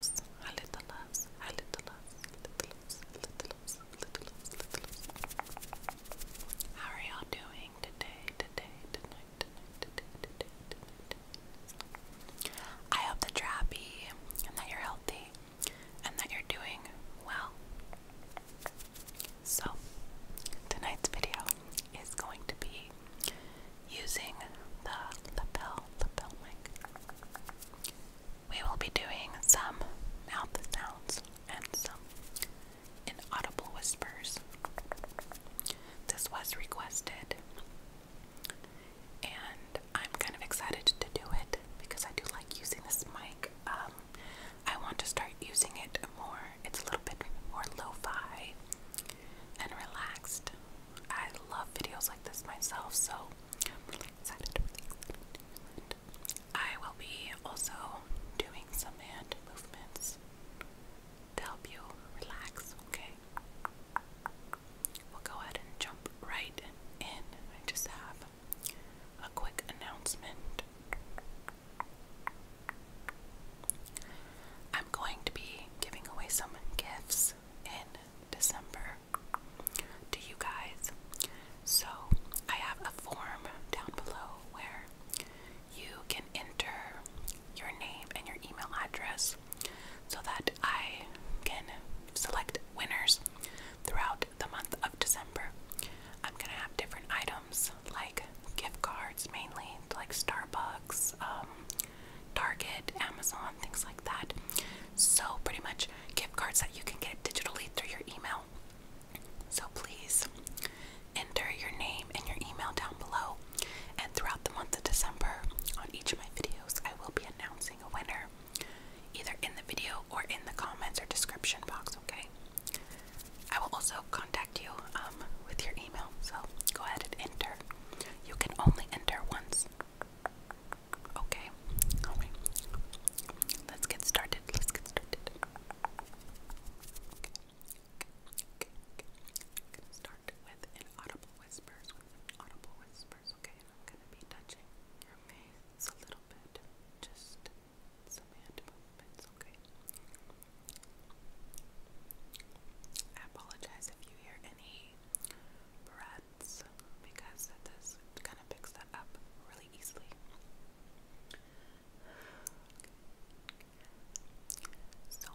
loves, little loves, our little loves, little loves, little loves, little loves, little loves. How are y'all doing today, today, tonight, tonight, today, today, tonight? I hope that you're happy and that you're healthy and that you're doing well. So, tonight's video is going to be using the lapel lapel mic. We will be doing some mouth sounds and some inaudible whispers. This was requested, and I'm kind of excited to do it because I do like using this mic. Um, I want to start using it more, it's a little bit more lo fi and relaxed. I love videos like this myself, so I'm really excited. Really excited. I will be also doing some hand movements to help you relax, okay? We'll go ahead and jump right in. I just have a quick announcement. I'm going to be giving away some gifts in December to you guys. So I have a form down below where you can enter your name and your email address so that I can select winners throughout the month of December. I'm gonna have different items like gift cards mainly, like Starbucks, um, Target, Amazon, things like that. So, pretty much gift cards that you can get digitally through your email. So, please enter your name and your email down below. And throughout the month of December, on each of my videos, I will be announcing a winner either in the video or in the comments or description box, okay? I will also contact you um, with your email, so go ahead and enter. You can only enter once Okay. Let's get started. Let's get started. gonna start with inaudible whispers. inaudible whispers. Okay. I'm gonna be touching your face a little bit. Just some hand movements. Okay. apologize if you hear any breath sets because this kind of picks that up really easily. Okay. So,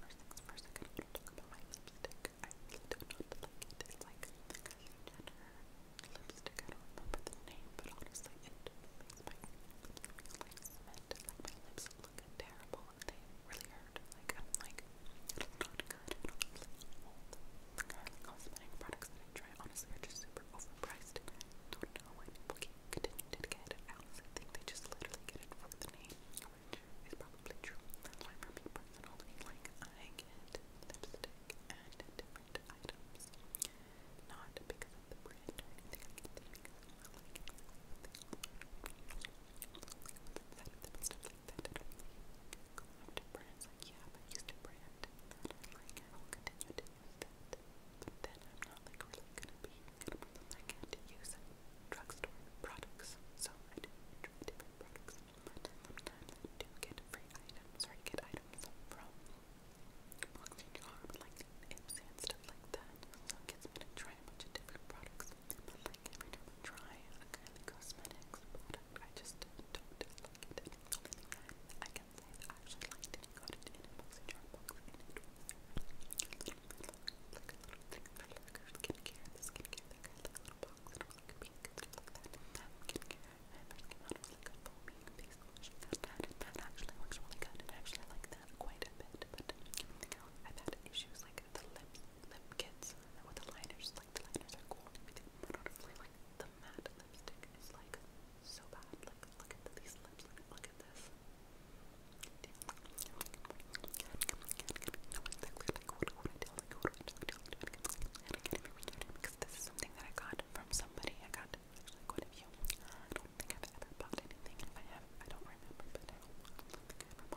first things first, I'm going to talk about my lipstick. I do not like it. It's like Jenner lipstick. I don't remember the name, but honestly, it makes my lips like cement. Like my lips look terrible. They really hurt. Like I'm like it's not good. It Cosmetic products that I try, honestly, are just super overpriced. I don't know why people keep continuing to get it. I honestly think they just literally get it for the name, which is probably true. That's why, for me personally, like, I get lipstick and different items. Not because of the brand or anything, I get them because I like it. What's inside of them and stuff after Brand's like, yeah, I used to brand. Like, I will continue to use But then I'm not like really gonna be I can't use drugstore products. So I do different products. sometimes I do get free items or I get items from Oxygen Charm, like Ipsy and stuff like that. So it gets me to try different products. But like every time I try a kind of cosmetics product, I just don't like it. And the only thing that I can say that I actually liked it and got it in a boxy jar box, and it was like a little thing for like her skincare, the skincare that kind of like a little box, and it was like a pink, like that. That skincare, and it came out was like a foamy face wash, and that, that actually looks really good, and I actually like that quite a bit, but everything else, I've had issues like the lips lip kits with the liners. Like the liners are cool the matte lipstick is like so bad. look at these lips. look at this. because this is something that I got from somebody. I got actually quite a few. I don't think I've ever bought anything. If I have, I don't remember, but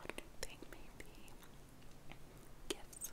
I don't think Maybe gifts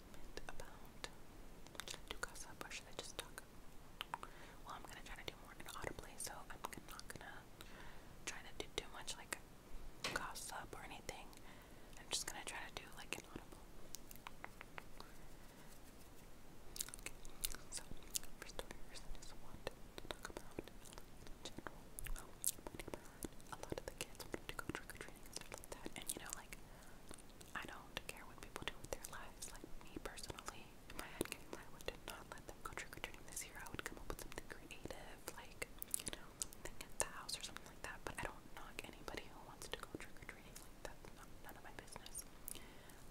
about. Should I do gossip or should I just talk? Well, I'm gonna try to do more inaudibly, so I'm not gonna try to do too much like gossip or anything. I'm just gonna try to do like inaudible. Okay, so first order is what to talk about in general. Well, oh, my neighbor a lot of the kids wanted to go trick-or-treating and stuff like that. And you know, like I don't care what people do with their lives. Like me personally, in my head game, I would not let them go trick-or-treating this year. I would come up with something creative, like, you know, something at the house or something like that. But I don't knock anybody who wants to go trick-or-treating. Like that's not, none of my business.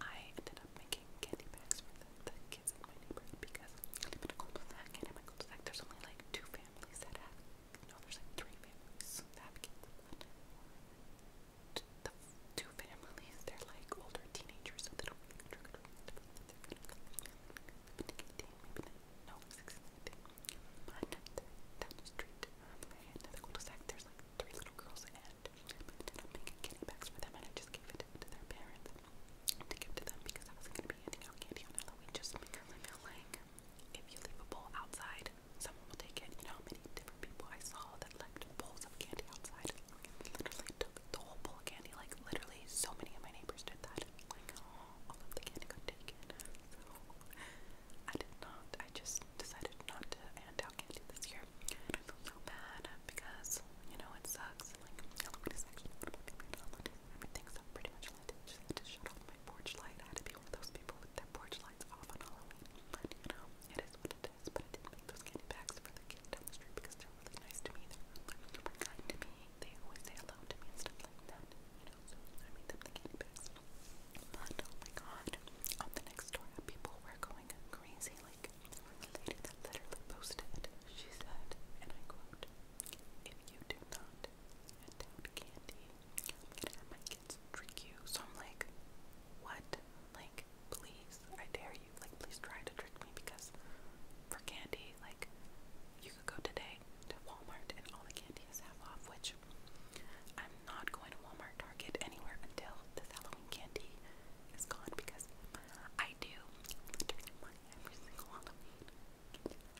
I ended up making candy bags for the, the kids in my neighborhood because I live in a cul-de-sac, and in my cul-de-sac there's only like two families that have no, there's like three families the two families, they're like older teenagers, no, sixteen. But down the street, in um, the cul de there's like three little girls, and I ended up making candy bags them, to their parents to give to them because I was gonna be handing out candy on just because I felt like. If you leave a bowl outside, someone will take it. You know how many different people I saw that left bowls of candy outside? They literally took the whole bowl of candy. Like, literally, so many of my neighbors did that. Like, oh, all of the candy got taken. So, I did not. I just decided not to hand out candy this year. And I feel so bad because, you know, it sucks. Like, nobody's actually everything's up pretty much. I had to shut off my porch light. I had to be one of those people with their porch lights off on Halloween. But, you know, it is what it is. But I did make those candy bags for the kids down the street because they're really nice to me. They're really kind to me. They always say hello to me and stuff like that. You know, so I made them the candy bags. But, oh my god, on the next story, uh, people were going crazy. Like, the lady that literally posted, she said, and I quote, if you do not at Candy. i my kids trick you. So I'm like, what? Like, please, I dare you. Like, please try to trick me because for candy, like, you could go today to Walmart and all the candy is half off, which I'm not going to Walmart, Target, anywhere until this Halloween candy is gone because I do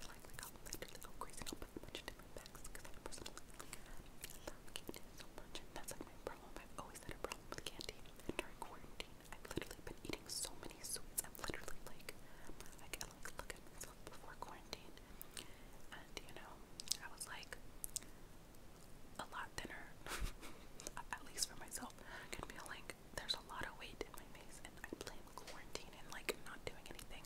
like the compliment or they go crazy. i am put a different bags because I personally love candy so much. that's like my problem. i always had a problem with candy. during quarantine, I've literally been eating so many sweets. I'm literally like, I can like look at myself before quarantine. And you know, I was like a lot thinner, at least for myself. I can feel like there's a lot of weight in my face, and I blame quarantine and like not doing anything.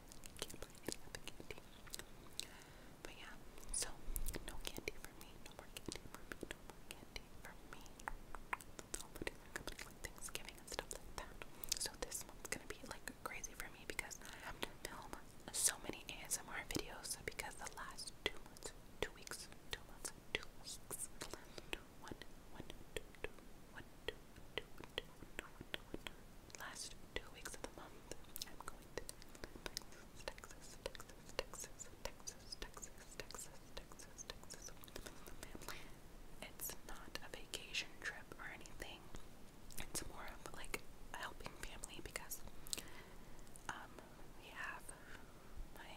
But yeah, so no candy for me, no more candy for me, no more candy for me. That's all food is this month's gonna be like crazy for me because I have to film so many ASMR videos because the last two months, two weeks, two months, two weeks, the last two weeks of the month, I'm going to Texas, Texas, Texas, Texas, Texas, Texas, Texas, Texas, It's not a vacation trip or anything. It's more of like helping family because um we have my,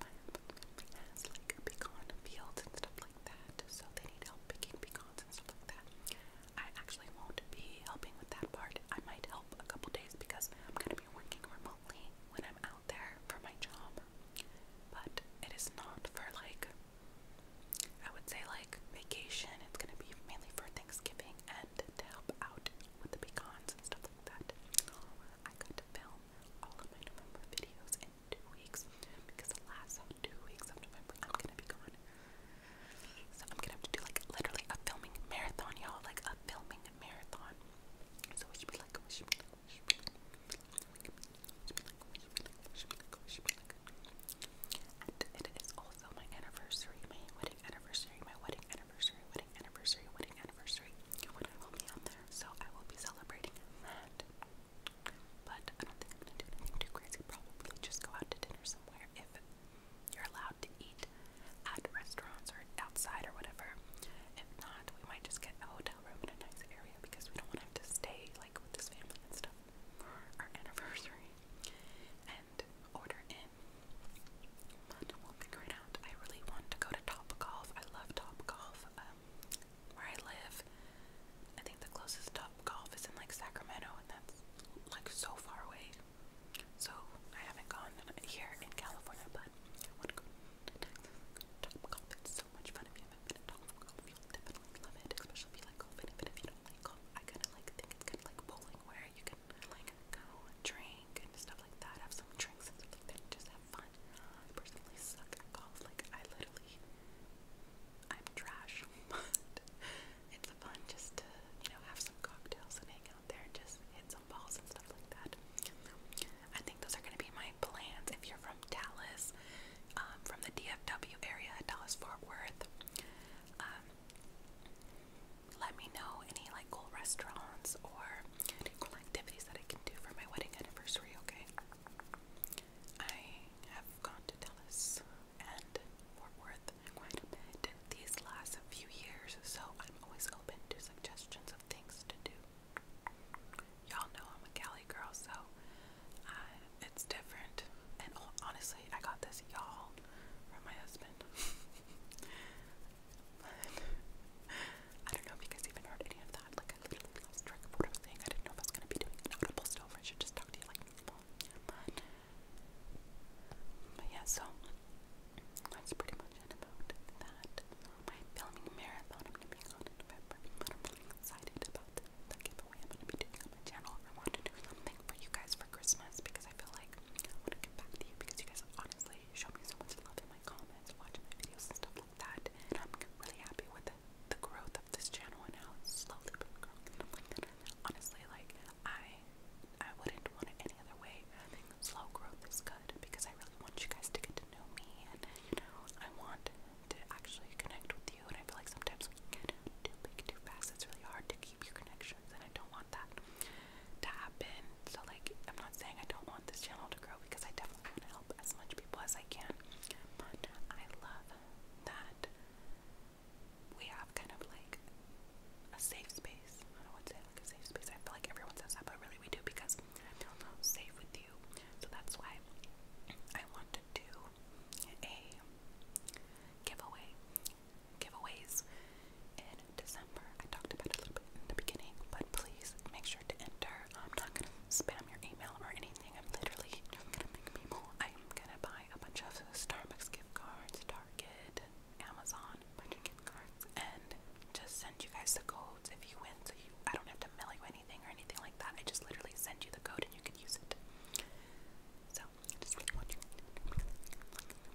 my has like a pecan fields and stuff like that, so they need help picking pecans and stuff like that. I actually won't be helping with that part. I might help a couple days because I'm gonna be working remotely when I'm out there for my job. But it is not for like I would say like vacation. It's gonna be mainly for Thanksgiving and to help out with the pecans and stuff like that. I got to film all of my November videos in two weeks because the last two weeks of November, I'm gonna be gone. So I'm gonna have to do like literally a filming marathon, y'all, like a filming marathon. and it is also my anniversary, my wedding anniversary, my wedding anniversary, wedding anniversary, wedding anniversary. so I will be celebrating but I don't think I'm gonna do anything too crazy. Probably just go out to dinner somewhere if you're allowed to eat at restaurants or outside or whatever. If not, we might just get a hotel room in a nice area because we don't want to have to stay like with this family and stuff for our anniversary and order in. But we'll figure it out. I really want to go to Top Golf. I love Top Golf. Um, where I live, I think the closest top golf is in like Sacramento, and that's like so far away. So I haven't gone here in California, but I want to go to Texas. Top golf, it's so much fun. If you haven't been to top golf, you'll definitely love it, especially if you like golf. And even if you don't like golf, I kind of like think it's kind of like bowling, where you can like go drink and stuff like that, have some drinks and stuff like that, and just have fun. I personally suck at golf. Like I literally I'm trash, but it's fun just to, you know, have some cocktails and hang out there and just hit some balls and stuff like that. I think those are going to be my plans. If you're from Dallas, um, from the DFW area, Dallas Fort Worth, um, let me know any like cool restaurants or any cool activities that I can do for my wedding anniversary, okay? I have gone to Dallas and Fort Worth quite a bit these last few years, so I'm always open to suggestions of things to do. Y'all know I'm a Cali girl, so uh, it's different. And honestly, I got this y'all from my husband. I don't know if you guys even heard any of that. Like, I literally lost track of I didn't know if I was going to be doing an audible still, I should just talk to you like but yeah, so that's pretty much about that. My filming marathon, I'm going to be excited about the, giveaway I'm going to be doing on my channel. I want to do something for you guys for Christmas because I feel like I want to give back to you because you guys honestly show me so much love in my comments, watching my videos and stuff like that. And I'm really happy with the, growth of this channel and how slowly been growing honestly, like I I wouldn't want it any other way. slow growth is good because I really want you guys to get to know me and I want to actually connect with you and I feel like sometimes when you get too big too fast it's really hard to keep your connections and I don't want that to happen. So like I'm not saying I don't want this channel to grow because I definitely want to help as much people as I can. But I love that we have kind of like a safe space. I don't want to say like a safe space. I feel like everyone says that, but really we do because I feel safe with you. So that's why I want to do a giveaway, giveaways in December. I talked about it a little bit in the beginning, but please make sure to enter. I'm not gonna spam your email or anything. I'm literally gonna make people. I'm gonna buy buy a bunch of Starbucks gift cards, Target, Amazon, a bunch of gift cards, and just send you guys the codes if you win. So you, I don't have to mail you anything or anything like that. I just literally send you the code and you can use it. So I just really want you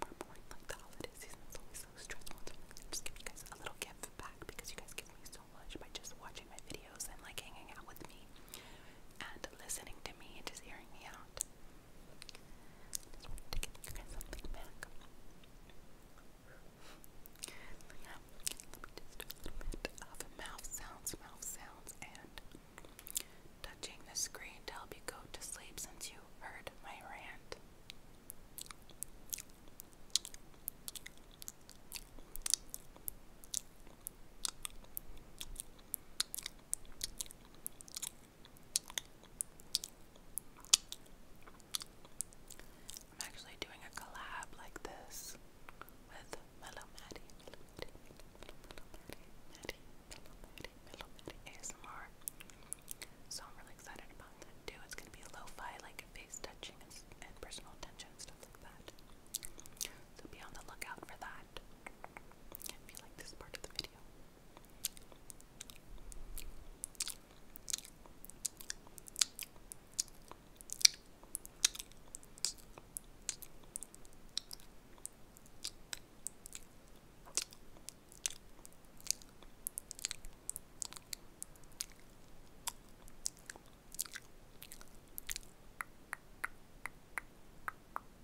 we're boring like the holiday season is always so stressful. So just give you guys a little gift back because you guys give me so much by just watching my videos and like hanging out with me and listening to me and just hearing me out. to give something back. Yeah, just a little bit of mouth sounds, mouth sounds, and touching the screen to help you go to sleep since you heard my rant. I'm actually doing a collab like this with Mellow Maddie, Mellow Maddie, Mellow Maddie, Maddie, Mellow Maddie, Mellow Maddie ASMR. So I'm really excited about that too. It's gonna be lo-fi, like face touching and, and personal attention, stuff like that. So be on the lookout for that. If you like this part of the video.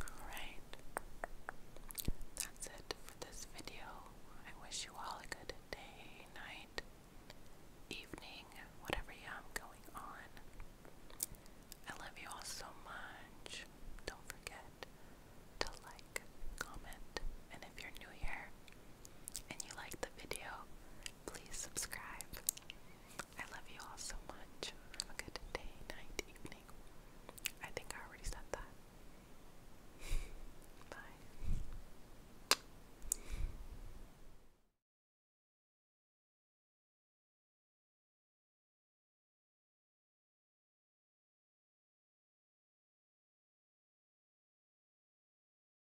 Alright, that's it for this video. I wish you all a good day, night, evening, whatever you have going on. I love you all so much. Don't forget to like, comment, and if you're new here, and you like the video, please subscribe. I love you all so much. Have a good day, night, evening. I think I already said that. Bye.